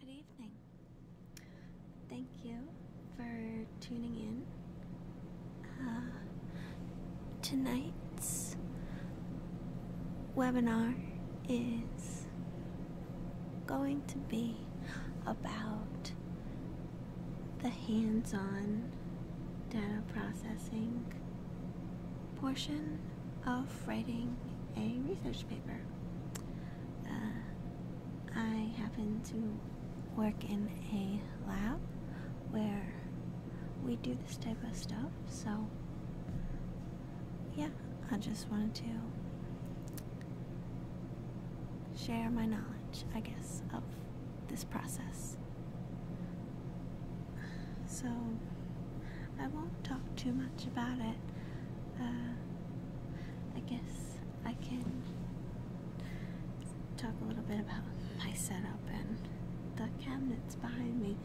Good evening. Thank you for tuning in. Uh, tonight's webinar is going to be about the hands on data processing portion of writing a research paper. Uh, I happen to work in a lab where we do this type of stuff, so yeah, I just wanted to share my knowledge, I guess, of this process. So, I won't talk too much about it. Uh, I guess I can talk a little bit about my setup and the cabinets behind me.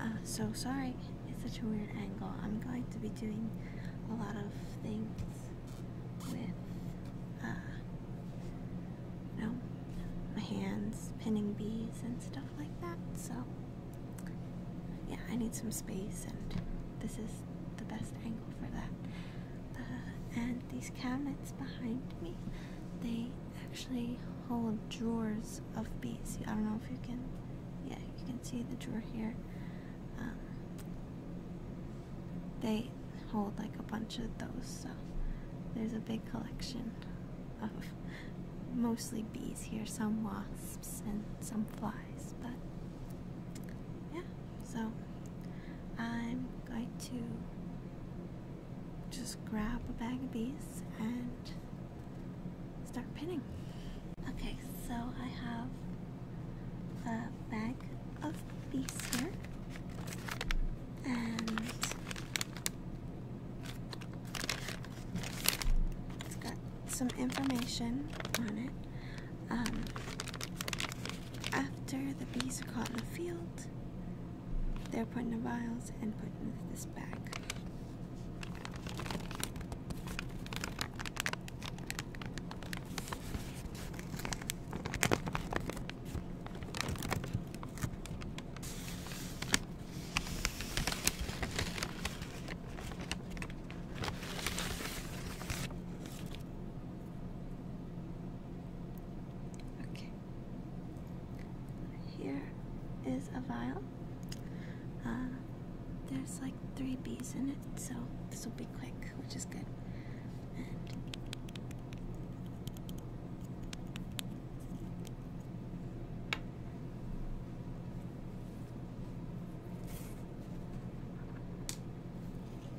Uh, so sorry, it's such a weird angle. I'm going to be doing a lot of things with uh, you my hands pinning bees and stuff like that. So, yeah, I need some space, and this is the best angle for that. Uh, and these cabinets behind me, they actually hold drawers of bees. I don't know if you can, yeah, you can see the drawer here. Um, they hold like a bunch of those, so there's a big collection of mostly bees here, some wasps and some flies, but yeah, so I'm going to just grab a bag of bees and start pinning. Okay, so I have a bag of these here. And got some information on it. Um, after the bees are caught in the field, they're put in the vials and put into this bag. Okay. Here is a vial. Uh, there's like three bees in it, so this will be quick, which is good.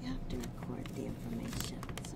You have to record the information, so.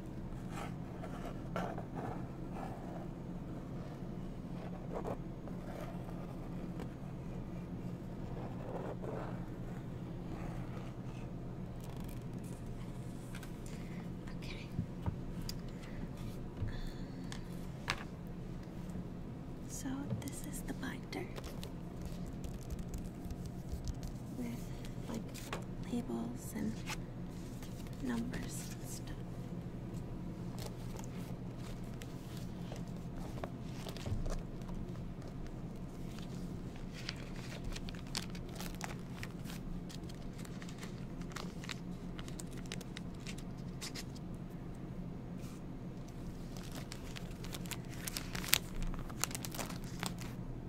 Okay. So, this is the binder with like labels and numbers and stuff.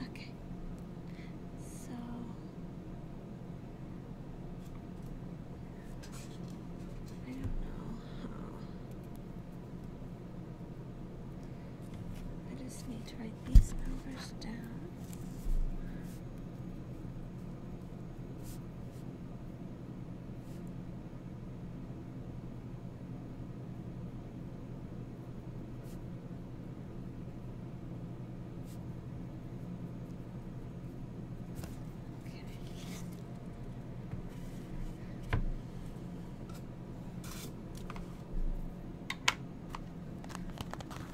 Okay, so I don't know I just need to write these numbers down.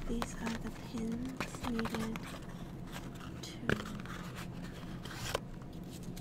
These are the pins needed to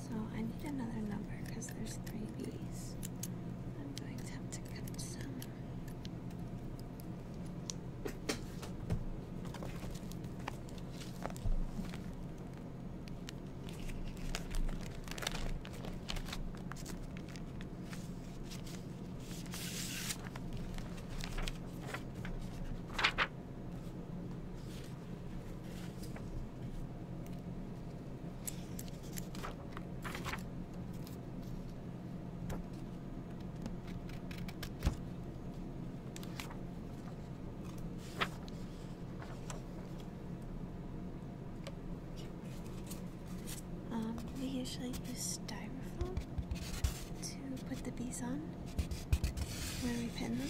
So I need another number because there's three B's. I'm going to have to cut some. Um, we usually use styrofoam to put the bees on where we pin them.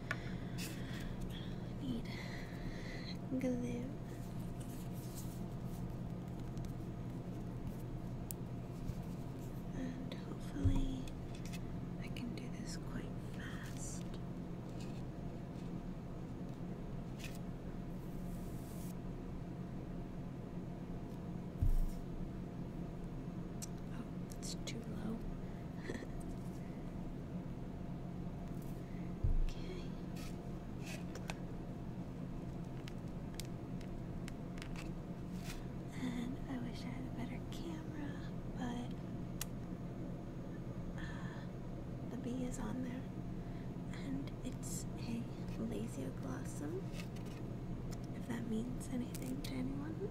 I need glue. And hopefully, I can do this quite fast. Oh, it's too low okay. And I wish I had a better camera, but the bee is on there, and it's a Lasioglossom, if that means anything to anyone.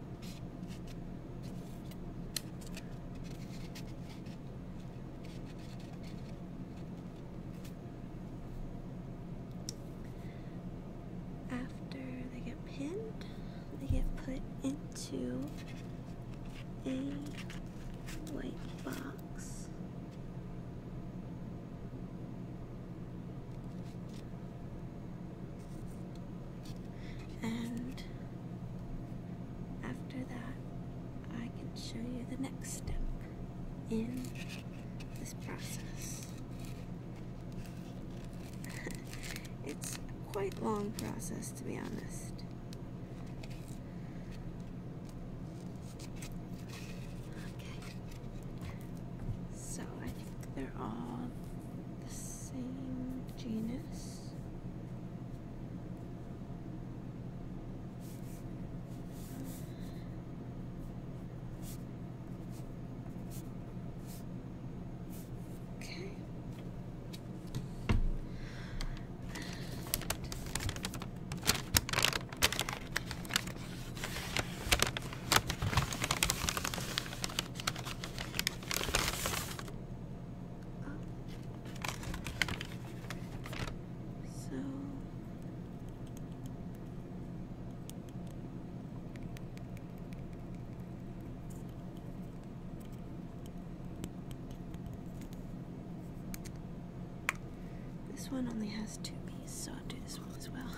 after they get pinned, they get put into a white box. And after that, I can show you the next step in this process. it's quite a long process, to be honest. Okay. So I think they're all the same genus. Okay. So this one only has two pieces, so I'll do this one as well.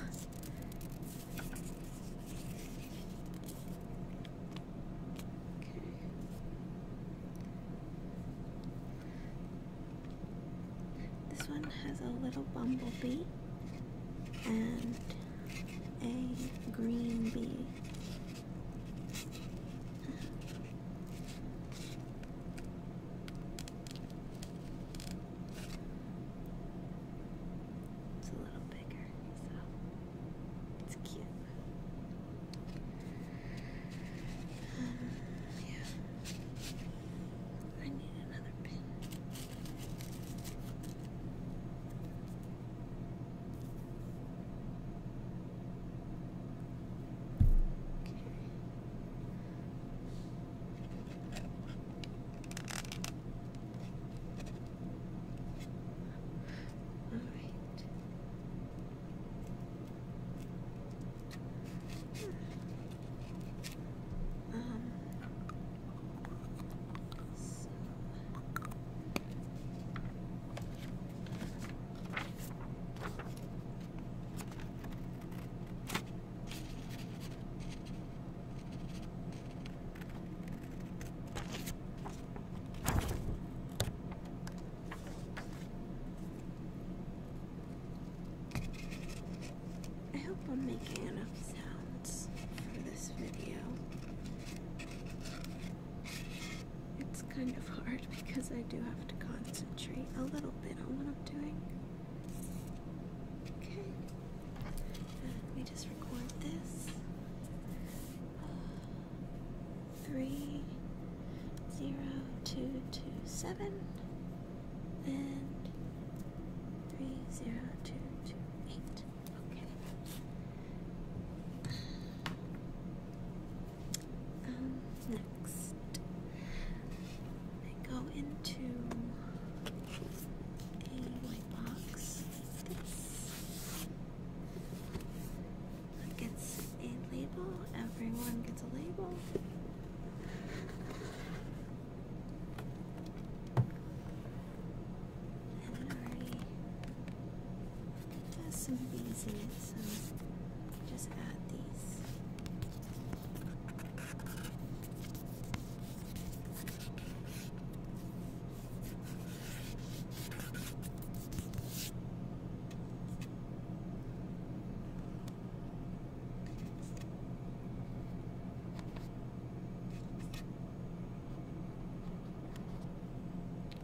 This one has a little bumblebee and a green bee. It's a little bigger, so it's cute. yeah. I need another pin. Okay. All right. Um. So. I hope I'm making enough sounds for this video. It's kind of hard because I do have to concentrate a little bit on what I'm doing. Okay. Let me just record this. Uh, three zero two two seven and three zero two two eight. Okay. Um, next, go into a white box gets a label, everyone gets a label. And it already has some bees in it, so just add these.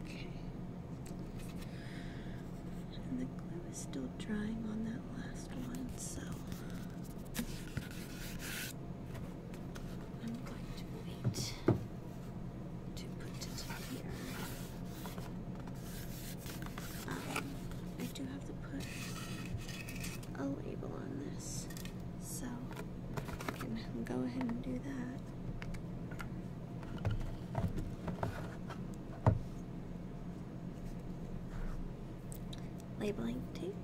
Okay. And the glue is still drying on that last one, so. I'm going to wait to put it here. Um, I do have to put a label on this, so I can go ahead and do that. Labeling tape.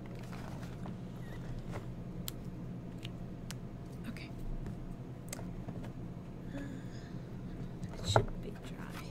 Okay. it should be dry.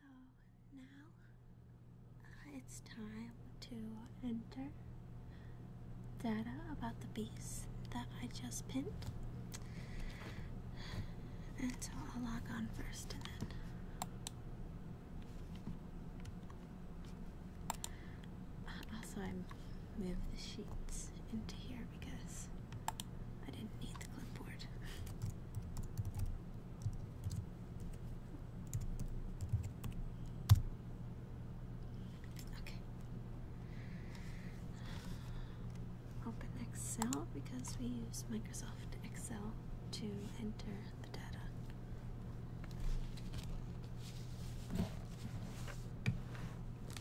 So now uh, it's time to enter data about the bees that I just pinned. And so I'll log on first and then. Also, I moved the sheets into here because I didn't need the clipboard. Okay. Open Excel because we use Microsoft Excel to enter the data.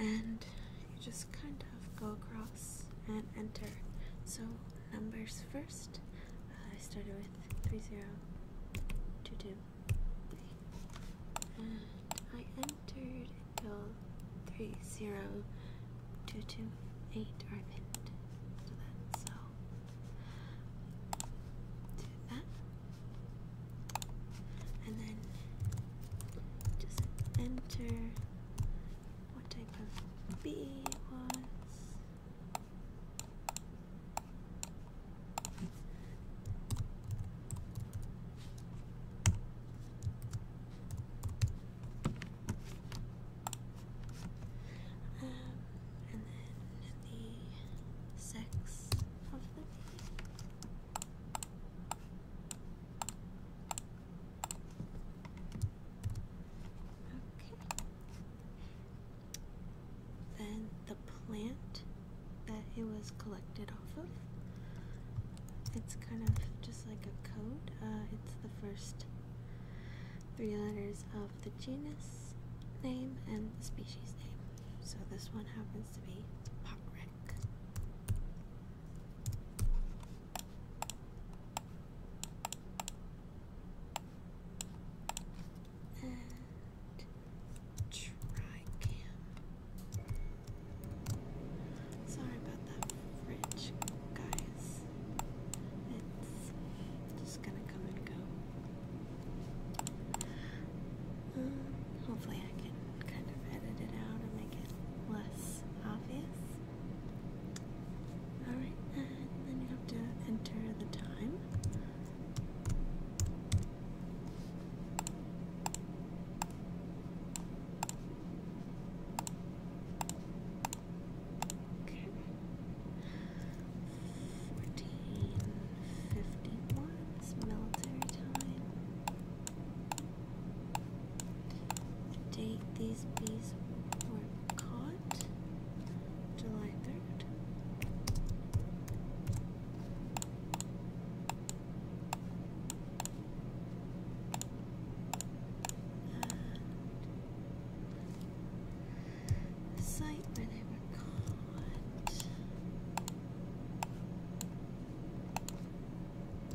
and you just kind of go across and enter. So numbers first. Uh, I started with three zero two two. And I entered hill three zero two two eight or pinned so do that. And then just enter what type of bee was. Um, and then the sex of the bee. Okay then the plant that it was collected off of. It's kind of just like a code. Uh, it's the first three letters of the genus name and the species name. So this one happens to be potrek and Tricam. Sorry about that fridge, guys. It's just gonna come and go. Um, hopefully, I can kind of edit it out and make it less obvious. Alright, and then you have to enter the time. Okay. Fourteen fifty one military time. date these bees were caught July 3rd. Uh, the site where they were caught.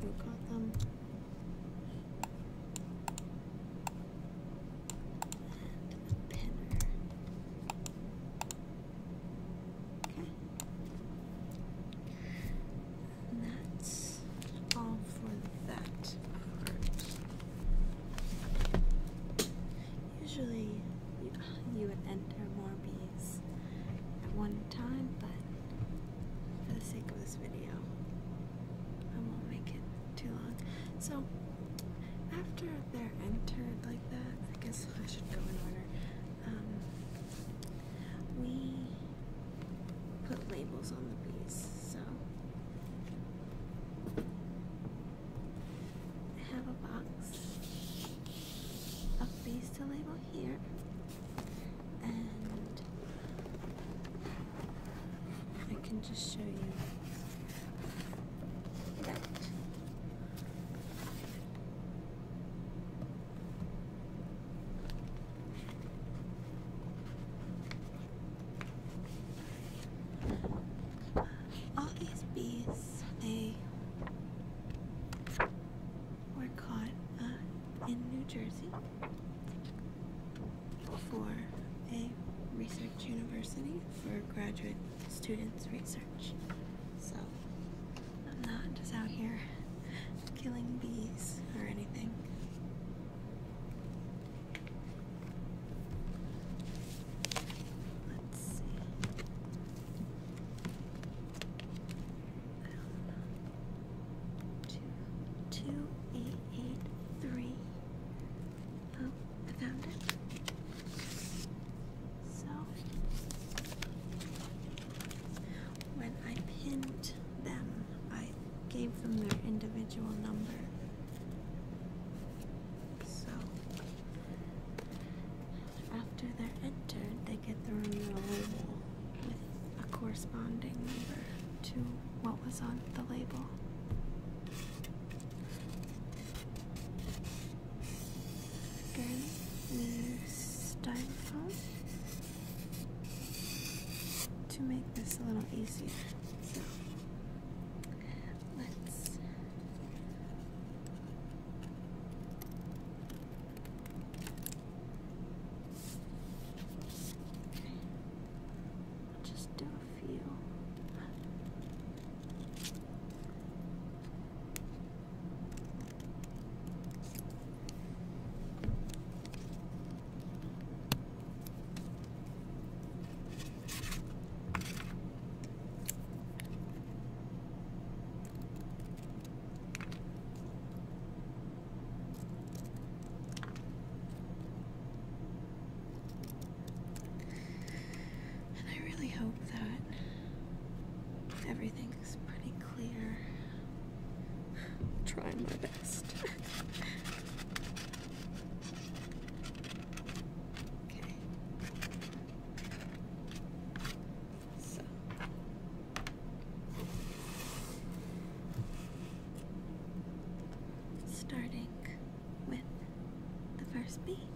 Who caught them? And pinner. Okay. And that's all for that Usually you would enter more bees at one time, but for the sake of this video, I won't make it too long. So, after they're entered like that, I guess so I should go in order. we put labels on the bees, so I have a box of bees to label here, and I can just show you that these bees—they were caught uh, in New Jersey for for a research university graduate students' research. So I'm not just out here killing bees or anything. Let's see. Two, two, eight, eight, three. Oh, I found it. So when I pinned them, I gave them their individual number. So after they're entered, they get their own label with a corresponding number to what was on the label. Again, use styrofoam to make this a little easier. So let's just do a few. And I really hope that but everything's pretty clear. trying my best. okay. So. Starting with the first beat.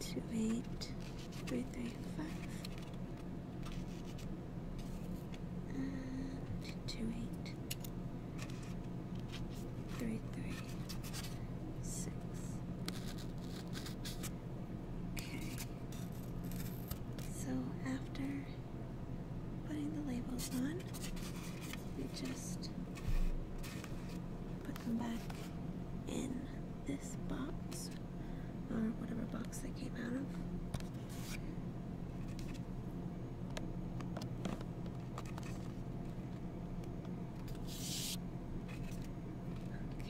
two, eight, three, three, five, Okay. So after putting the labels on, we just put them back in this box or whatever box they came out of.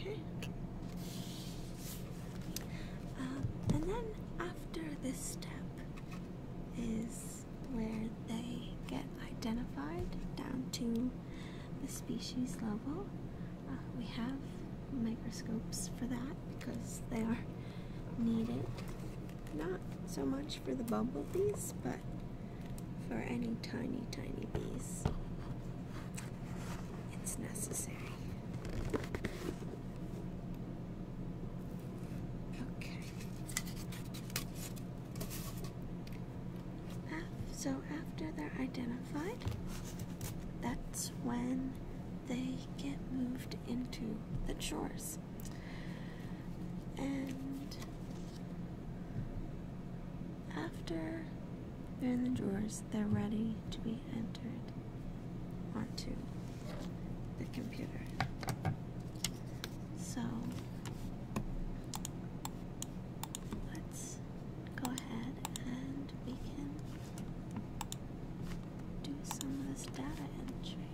Okay. Uh, and then after this step is where they get identified down to the species level. Uh, we have microscopes for that because they are needed, not so much for the bumblebees, but for any tiny, tiny bees. It's necessary. Okay. So after they're identified, that's when they get moved into the drawers. And after they're in the drawers, they're ready to be entered onto the computer. So Let's go ahead and we can do some of this data entry.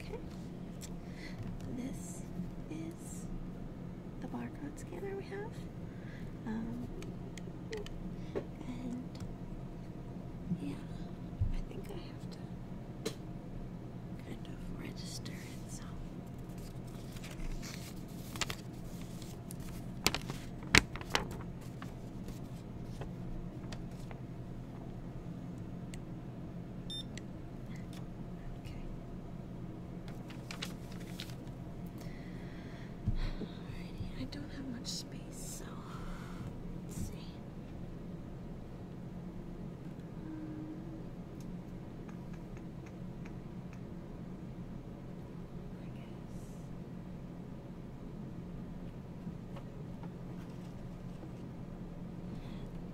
Okay, this is the barcode scanner we have. Um, and yeah, I think I have kind of register itself. Okay. Alrighty, I don't have much space, so let's see.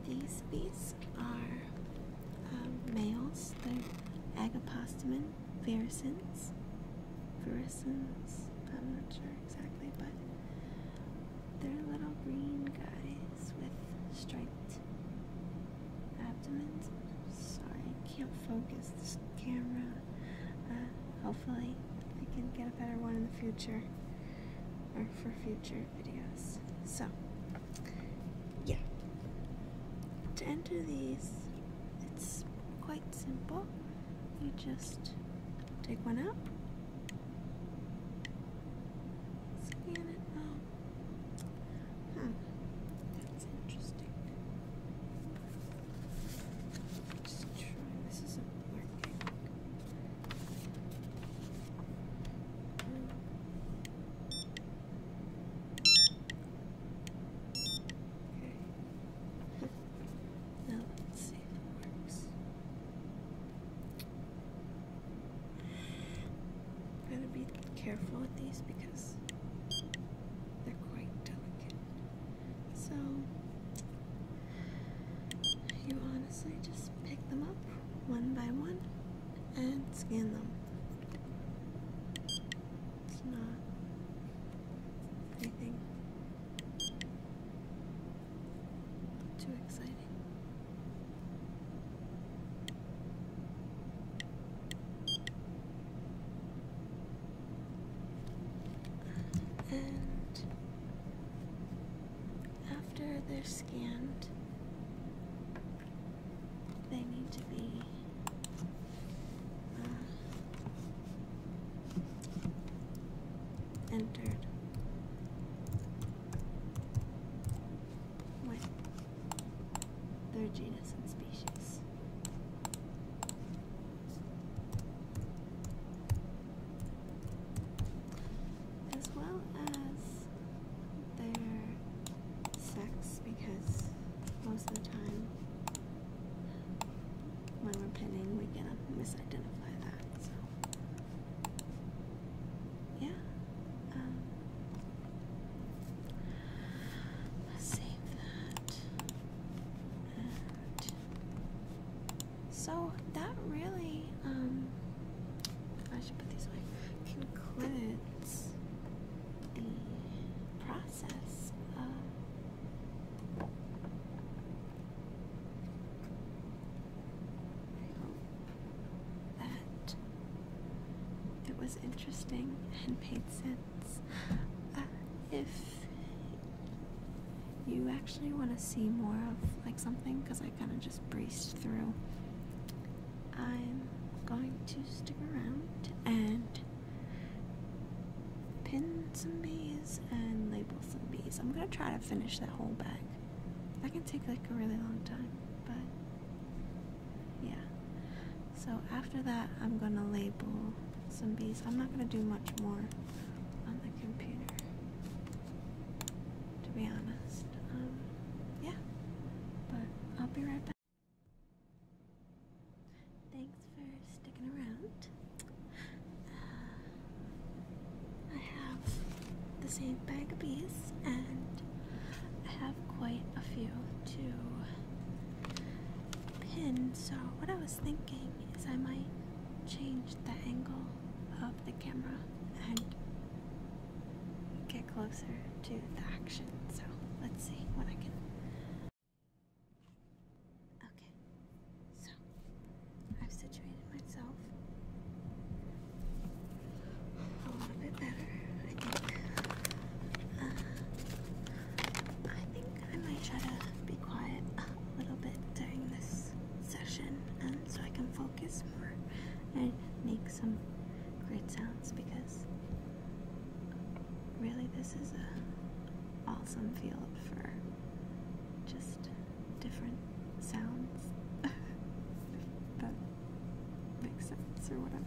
These bees are um, males, they're agapostamen ferrisins. Ferrisins, I'm not sure exactly, but they're little green guys with striped abdomens. Sorry, I can't focus this camera. Uh, hopefully, I can get a better one in the future or for future videos. So, yeah. To enter these, it's quite simple. You just take one out Scan it now. Oh. Hmm. That's interesting. Just try. This isn't working. Hmm. Now let's see if it works. Gotta be careful with these because they're quite delicate. So you honestly just pick them up one by one and scan them. It's not anything not too exciting. And after they're scanned, they need to be uh, entered. With their genus and species. As well as their sex, because most of the time when we're pinning, we can misidentify that yeah. Um, save that. And so that really, um, I should put these away, concludes the process that it was interesting and made sense. Uh, if you actually want to see more of like something, because I kind of just breezed through, I'm going to stick around and pin some bees and label some bees. I'm gonna try to finish that whole bag. That can take like a really long time, but yeah. So after that, I'm gonna label some bees. I'm not gonna do much more on the computer, to be honest. Um, yeah, but I'll be right back. Thanks for sticking around. I have the same bag of bees, and I have quite a few to pin. So, what I was thinking is I might change the angle of the camera and get closer to the action. So, let's see what I can. Okay, so, I've situated myself a little bit better, I think. Uh, I think I might try to be quiet a little bit during this session um, so I can focus more and make some great sounds because really this is a awesome field for just different sounds. if that makes sense or whatever.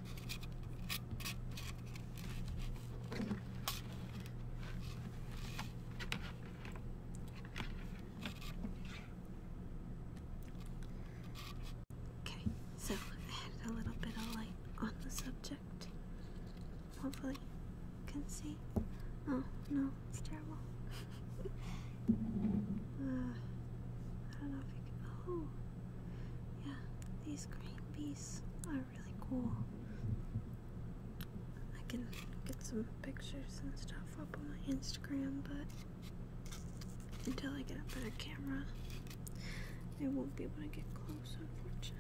Okay, so I had a little bit of light on the subject. Hopefully, you can see. Oh no, it's terrible. Uh, I don't know if you can. Oh, yeah, these green bees are really cool. I can get some pictures and stuff up on my Instagram, but until I get a better camera, I won't be able to get close, unfortunately.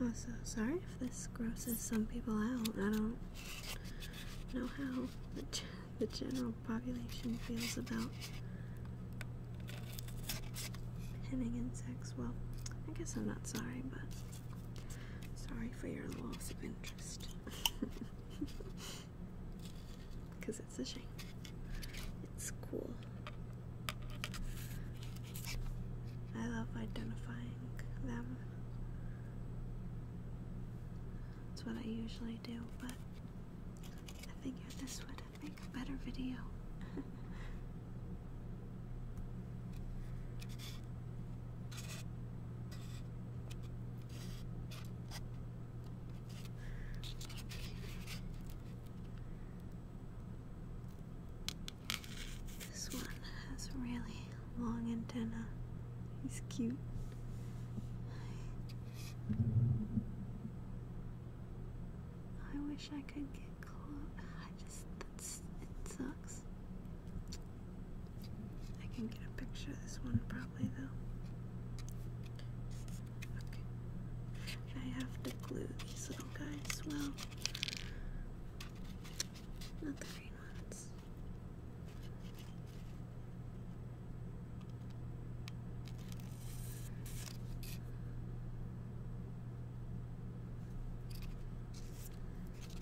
Also, sorry if this grosses some people out. I don't know how the, the general population feels about pinning insects. Well, I guess I'm not sorry, but. Sorry for your loss of interest. Because it's a shame. It's cool. I love identifying them. That's what I usually do, but I figured this would make a better video. This one has really long antenna. He's cute. I wish I could get close. I just, that's it sucks. I can get a picture of this one probably though. I have to glue these little guys well. Not the green ones.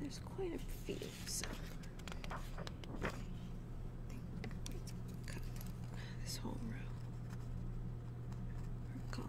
there's quite a few, so let this whole row column.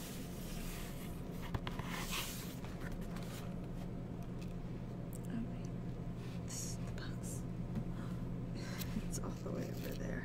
This is the box. it's all the way over there.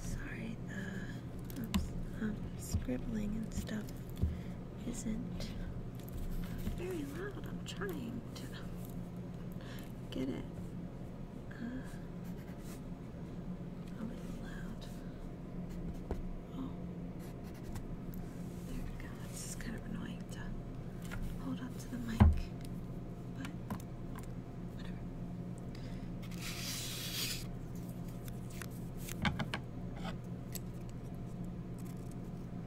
Sorry, the uh, um, scribbling and stuff isn't very loud. I'm trying get it. Uh, oh, it's loud. Oh, there we go. It's just kind of annoying to hold up to the mic, but whatever.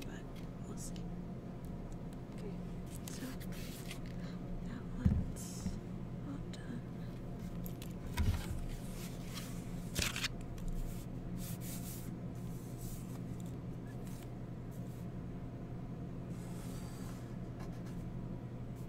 But we'll see. Okay, that one's all done. Okay.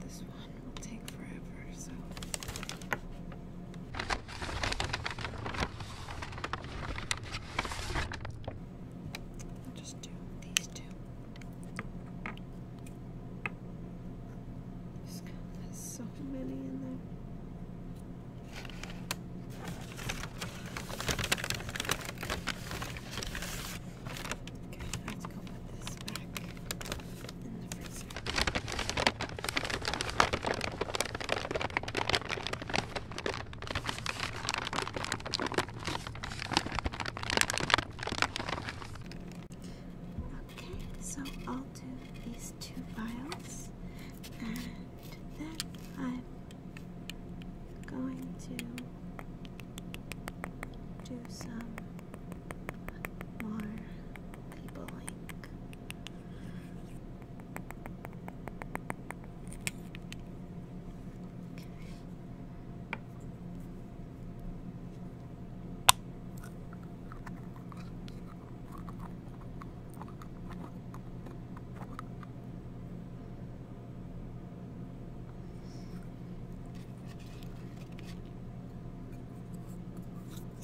This one will take forever, so. just do these two. there's so many in there. Okay, let's go put this back in the freezer. Okay, so I'll do these two vials and then I'm going to do some more people like.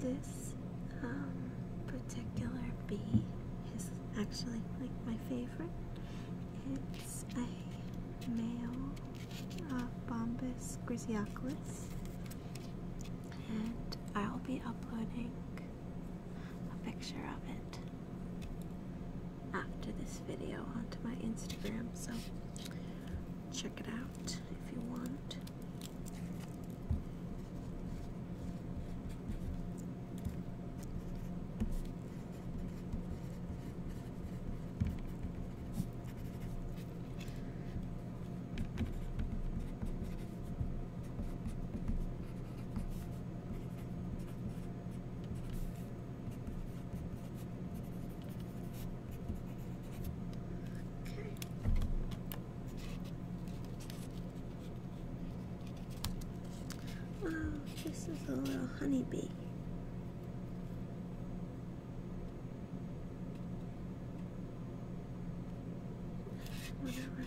This um, particular bee is actually like my favorite. It's a male uh, Bombus griseaculus, and I'll be uploading a picture of it after this video onto my Instagram. So check it out if you want. Okay. Wow, this is a little honeybee. Whatever.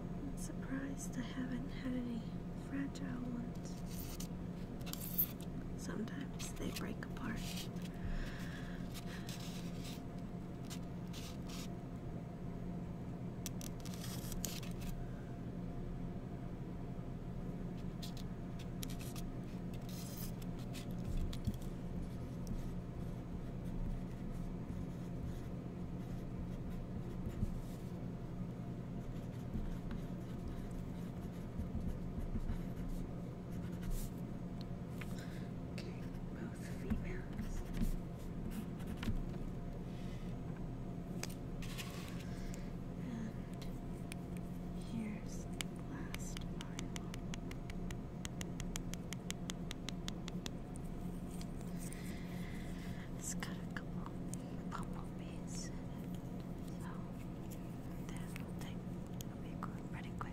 I'm surprised I haven't had any fragile ones. Sometimes they break apart. Okay, both females. And here's the last vial. It's got a couple bumblebees so that will take will pretty quick.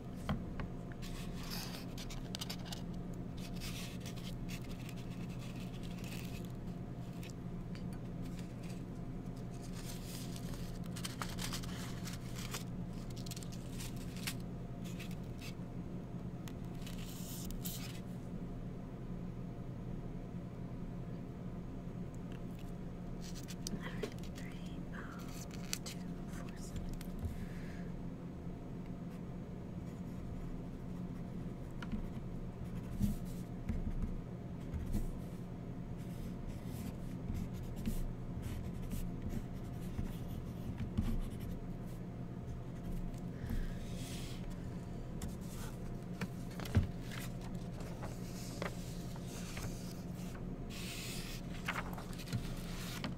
All right, three, five, two, four, seven.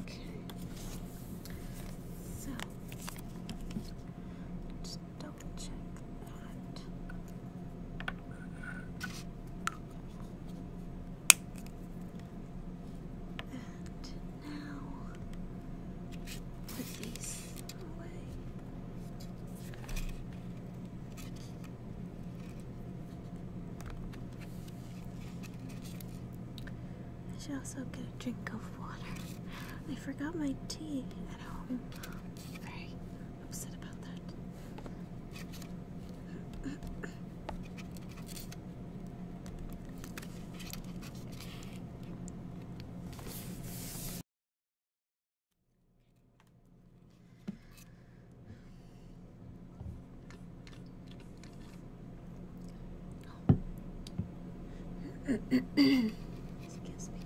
Okay. So double check that. And now put these away. I should also get a drink of water. I forgot my tea at home. Very upset about that. Excuse me.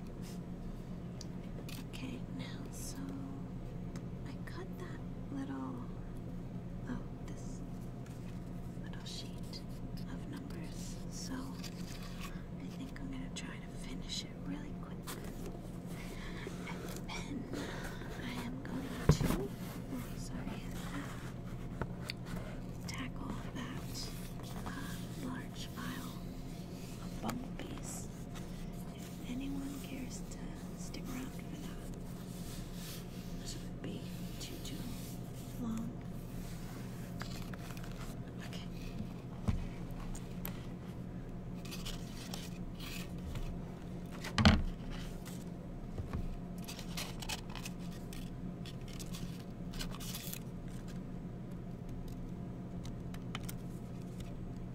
Okay, now so I cut that little, oh, this little sheet of numbers. So I think I'm gonna try to finish it really quickly, And then I am going to, oh, sorry, tackle that uh, large pile of bumble anyone cares to stick around for that. This would be too too long. Okay.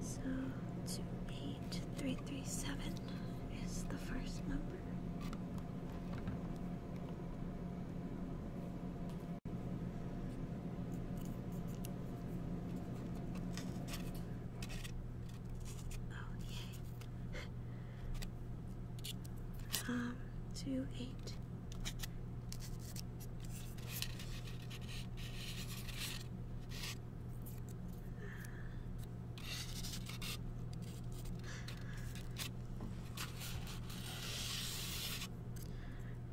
So two eight three three seven is the first number. Oh, um, two, eight.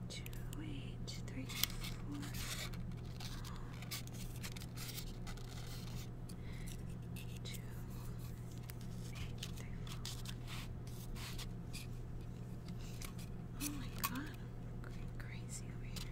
Two, eight, three, four two, eight, three, four. Oh my god, I'm going crazy over here.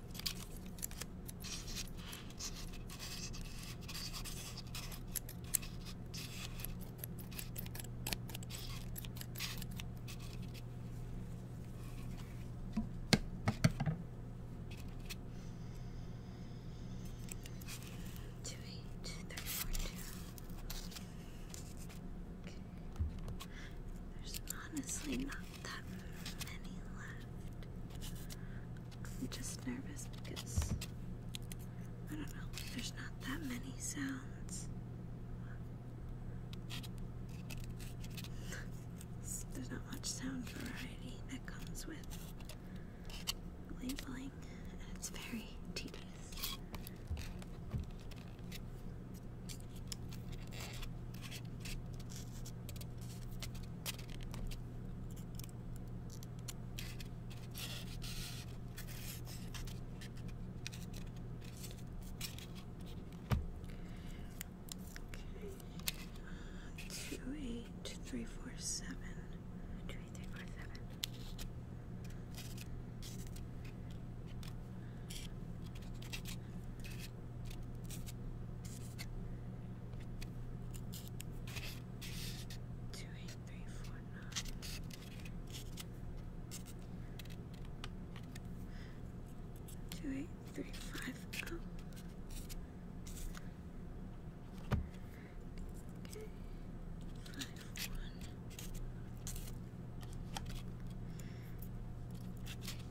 Two eight three four two. Okay. There's honestly not that many left. I'm just nervous because I don't know, there's not that many sounds. There's not much sound variety that comes with labeling, and it's very tedious. Two eight three four seven. Two eight three four seven. Two eight three four nine. Two eight three five oh. Okay. Five one.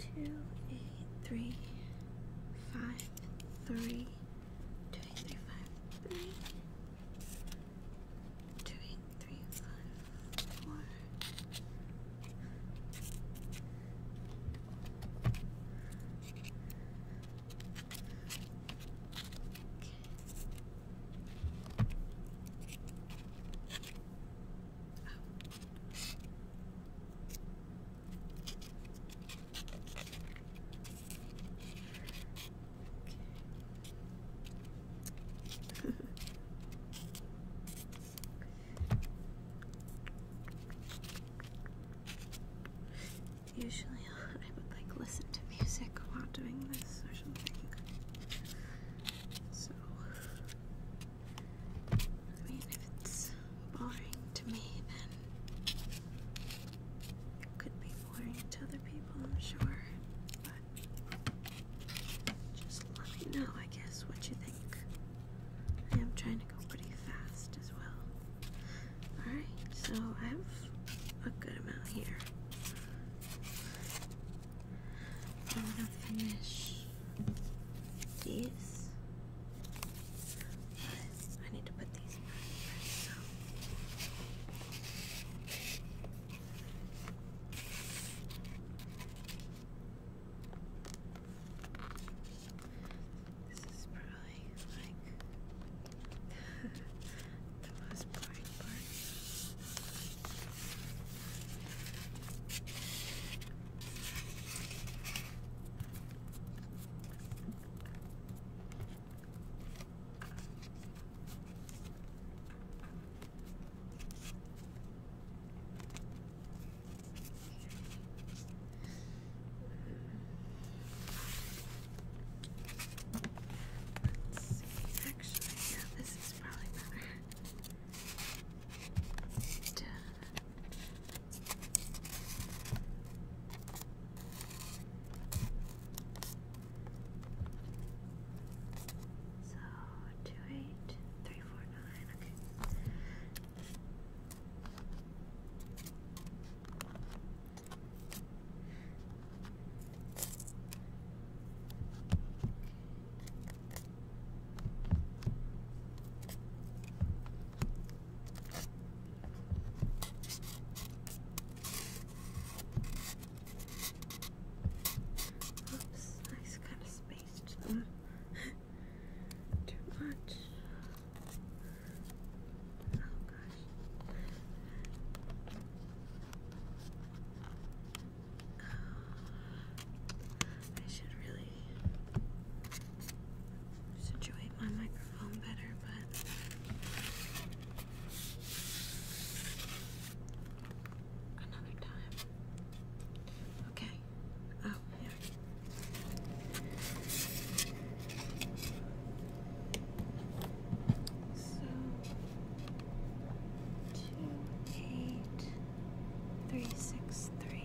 Two, eight, three, five, three, two, eight, three, five, three, two, eight, three, five, four. Okay. Okay. Usually I would like listen to music while doing this or something. So I mean if it's boring to me then it could be boring to other people I'm sure. Just let me know, I guess, what you think. I am trying to go pretty fast as well. Alright, so I have a good amount here. I'm gonna finish these. I need to put these this is probably like the most boring part. Let's Actually, yeah, this is probably better. So two eight three four nine nine. Okay. Oops, kind of too much. Oh gosh. I should really situate my microphone better, but. Another time. Okay. Oh, yeah. So, two, eight, three, six, three.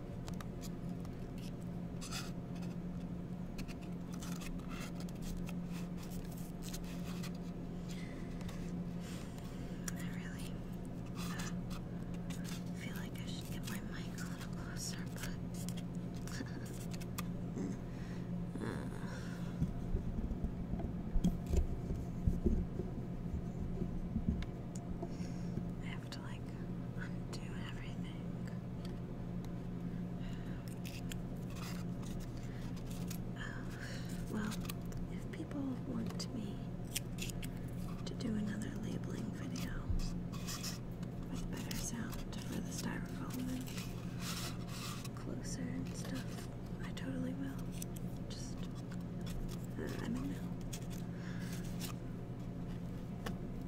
I really feel like I should get my mic a little closer, but uh, I have to like undo everything. Uh, well, if people want me to do another labeling video with better sound for the styrofoam and closer and stuff, I totally will. Just, uh, I don't know. Six, nine.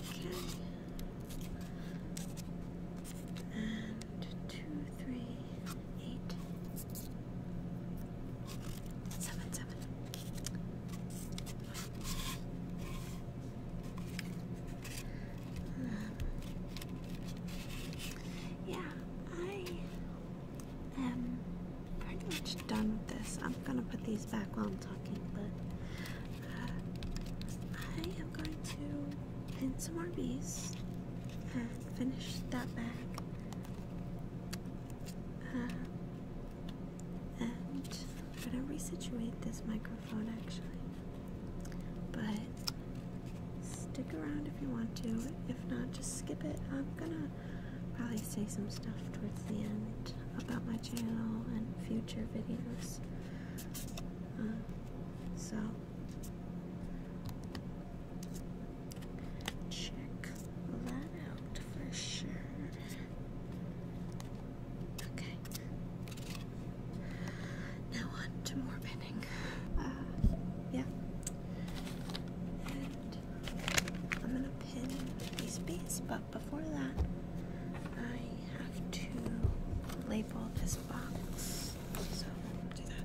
Okay. And two, three, eight, seven, seven. yeah, I um, pretty much done with this. I'm gonna put these back while I'm talking, but uh, I am going to pin some more bees and finish that bag. Uh, and I'm gonna resituate this microphone actually. But stick around if you want to. If not, just skip it. I'm gonna probably say some stuff towards the end about my channel and future videos. Um, so, check that out for sure. Okay. Now on to more pinning. Uh, yeah. I'm gonna pin these bees, but before that, I have to label this box. So do that.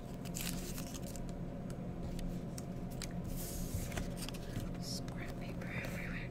Scrap paper everywhere.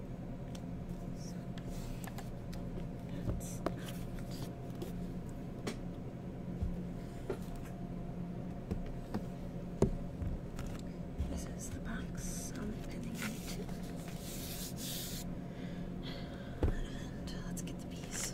This is the box I'm pinning to. And uh, let's get the piece.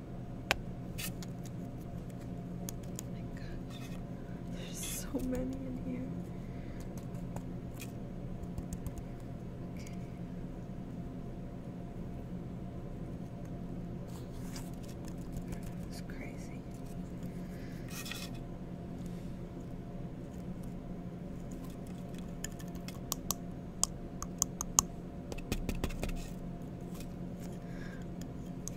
Oh my gosh, there's so many in here. It's crazy.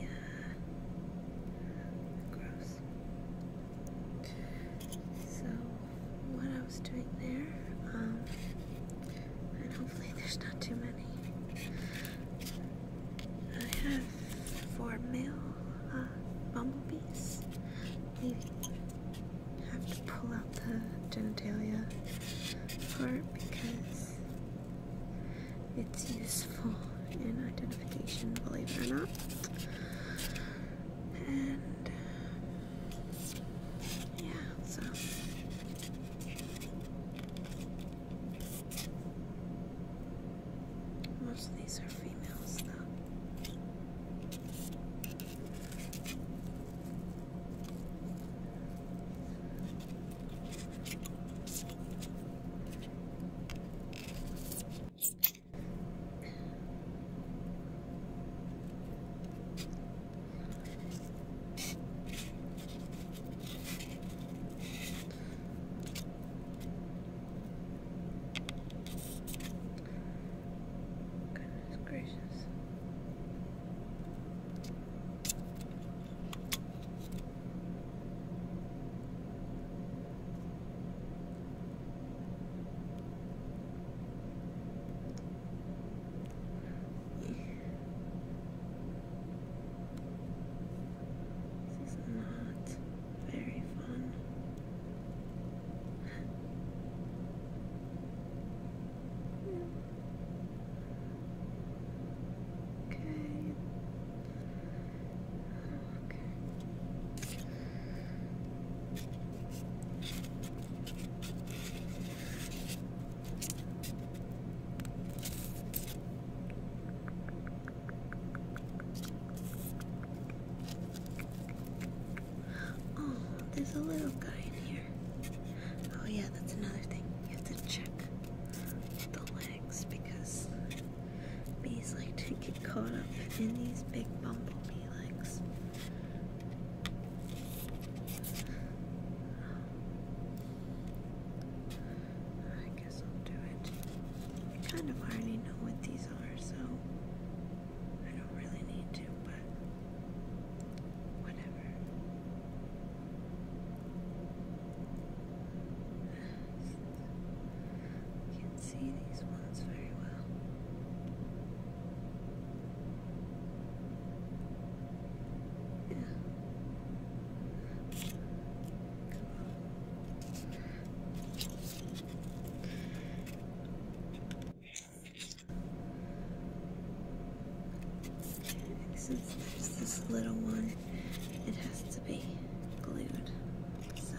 Yeah. Gross. So, what I was doing there, um, and hopefully there's not too many. I have four male uh, bumblebees. Maybe have to pull out the genitalia part because it's useful in identification, believe it or not. And yeah, so most of these are females, though. Goodness gracious. This is not very fun. Okay. Okay. Oh, there's a little guy in here. Oh, yeah, that's another thing. You have to check the legs because bees like to get caught up in these big bumblebee legs. I guess I'll do it. I kind of already know what these are, so I don't really need to, but whatever. I can't see these ones very well. Since there's this little one, it has to be glued. So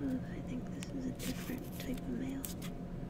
Oh, I think this is a different type of mail.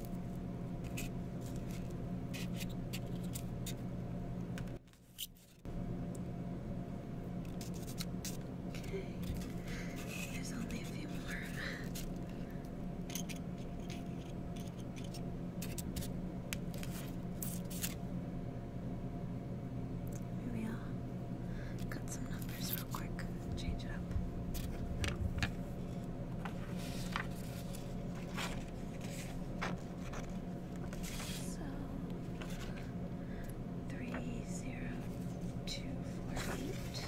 Okay, there's only a few more. Maybe I'll cut some numbers real quick, change it up. So three zero two four eight.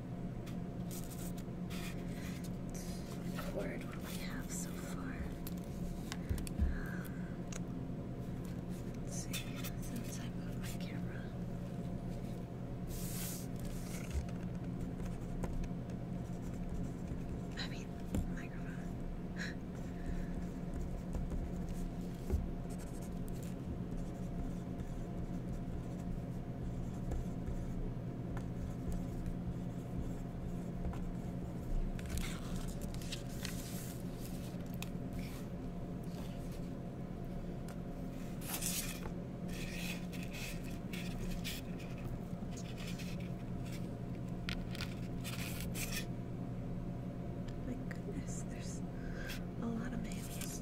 Forward, what do we have so far? let's see, that's inside of my camera. I mean, microphone. My goodness, there's a lot of mammals.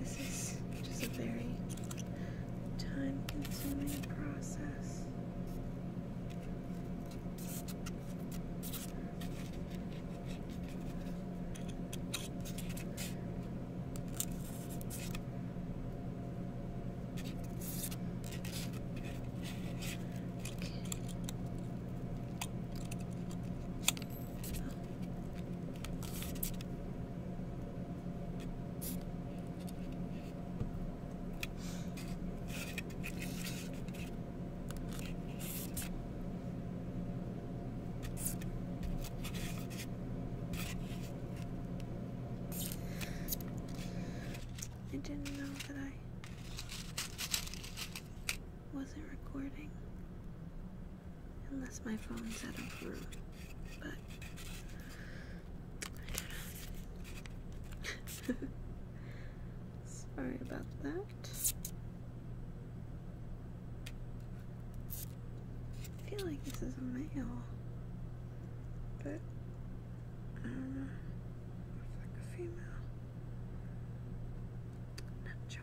This is just a very time consuming process. I didn't know that I wasn't recording. Unless my phone's out of room. But Sorry about that. I feel like this is a male. But I um, don't know. It's like a female. not sure.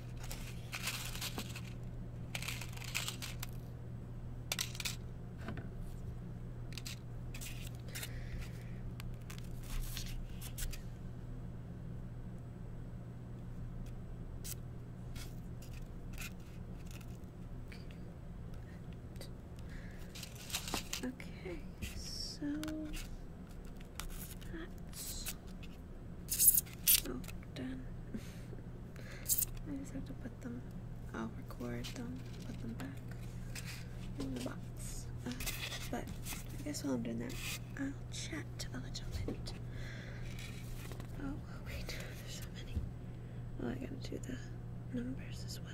Okay, so that's Oh, done. I just have to put them, I'll record them, put them back in the box. Uh, but I guess while I'm doing that, I'll chat a little bit. Oh, wait, there's so many. Oh, I gotta do the numbers as well.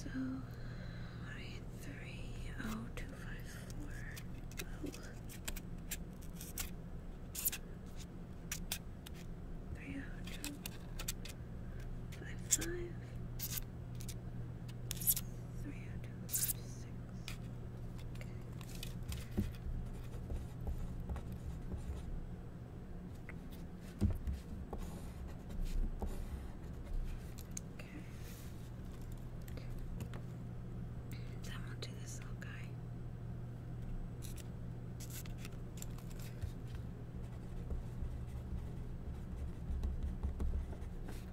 So, alright, three oh two five four. Oh. Three oh two five five. Three oh two six. Okay. Okay. So i do this little guy.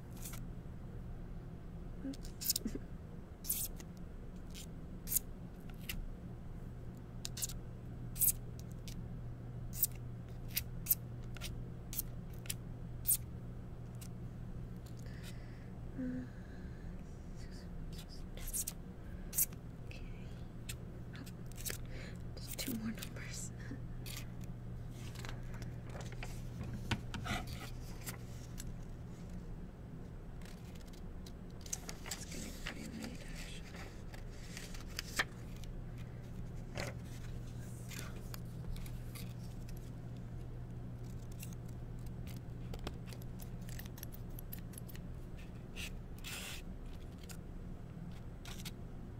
Okay. Oh, just two more numbers this. It's getting pretty late, actually.